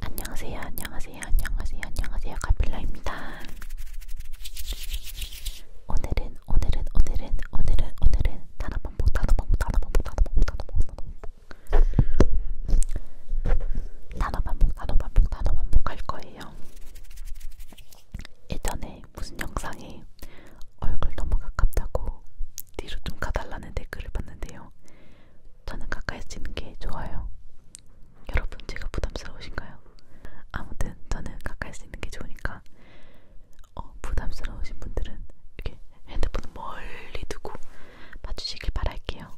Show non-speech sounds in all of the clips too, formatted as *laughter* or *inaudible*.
안녕하세요, 안녕하세요, 안녕하세요, 안녕하세요, 가필라입니다. 오늘은, 오늘은, 오늘은, 오늘은, 오늘은 단어방법, 단어방법, 단어방법, 단어방법, 단어방법, 단어방법, 단어방법, 단어방법 할 거예요. 예전에 무슨 영상에 얼굴 너무 가깝다고 뒤로 좀 가달라는 댓글을 봤는데요. 저는 가까이 있는 게 좋아요. 여러분 제가 부담스러우신가요? 아무튼 저는 가까이 있는 게 좋으니까 어, 부담스러우신 분들은 이렇게 핸드폰을 멀리 두고 봐주시길 바랄게요.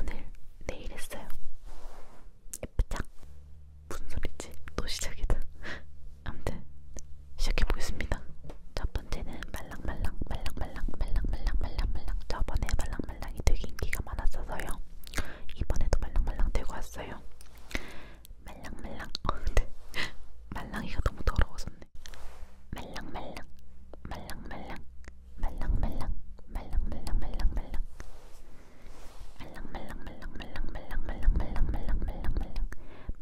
오늘 내일 했어요. 예쁘죠? 무슨 소리지? 또 시작이다. *laughs* 아무튼 시작해 보겠습니다. 첫 번째는 말랑말랑 말랑말랑 말랑말랑 말랑말랑 저번에 말랑말랑이 되게 인기가 많았어서요. 이번에도 말랑말랑 들고 왔어요. 말랑말랑 *laughs* 네. 말랑이가 너무 더러워졌네. 말랑말랑 말랑말랑 말랑말랑 말랑말랑 말랑말랑 말랑말랑 말랑말랑 말랑말랑 말랑말랑 말랑말랑 말랑말랑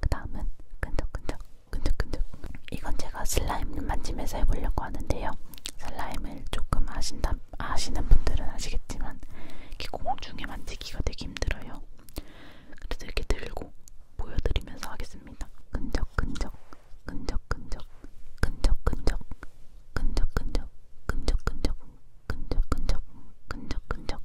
그 다음은 끈적끈적 끈적끈적 이건 제가 슬라임 만지면서 해보려고 하는데요. 슬라임을 조금 아신다, 아시는 분들은 아시겠지만 이렇게 공중에 만지기가 되게 힘들어요. 그래서 이렇게 들고 보여드리면서 하겠습니다. 끈적끈적 끈적끈적 끈적끈적 끈적끈적 끈적끈적 끈적끈적 끈적끈적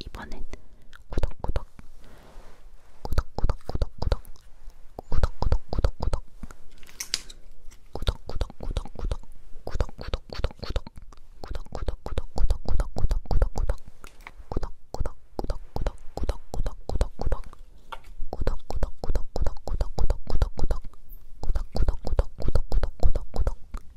이번엔 구독구독 구독구독구독구독 구독구독구독구독 구독구독구독구독 구독구독구독구독 구독구독구독구독구독구독구독구독 구독구독구독구독구독구독구독구독 구독구독구독구독구독구독구독구독구독구독구독구독구독구독구독구독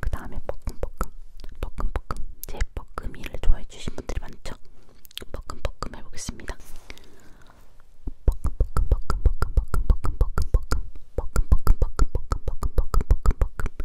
그 다음에 뻐끔뻐끔 뻐끔뻐끔 제 뻐끔이를 좋아해 주신 분들이 많죠? 뻐끔뻐끔 해보겠습니다. 뻐끔뻐끔 뻐끔뻐끔 뻐끔뻐끔 뻐끔뻐끔 뻐끔뻐끔 뻐끔뻐끔 뻐끔뻐끔 뻐끔뻐끔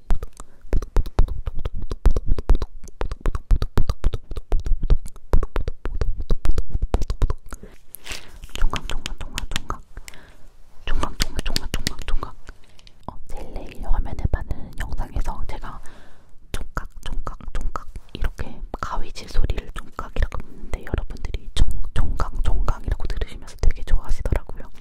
종각종각종각종각종각종각종각종각 어, 제일 화면에 반는 영상에서 제가 종각 종각 종각 이렇게 가위질 소리를 종각이라고 했는데 여러분들이 종, 종각 종각이라고 들으시면서 되게 좋아하시더라고요.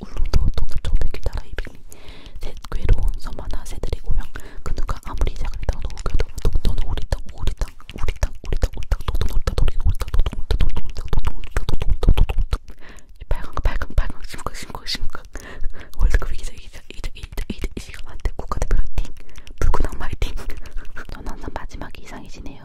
울릉도 동서쪽 백길따라 200리 새 괴로운 섬 하나 새들의 고향 그 누가 아무리 자그리다 노우겨도 동전 오리땅 오리땅 오리땅 오리땅 오리땅 동전 오리땅 오리땅 오리땅 동전 오리땅 동전 오리땅 동전 오리땅 동전 오리땅 발광 발광 발광 심각 심각 심각 월드컵 이기자 이기자 이기자 이기자 이기자 이 시간한테 국가대표 화이팅 불구당 화이팅 전 항상 마지막 이상이지네요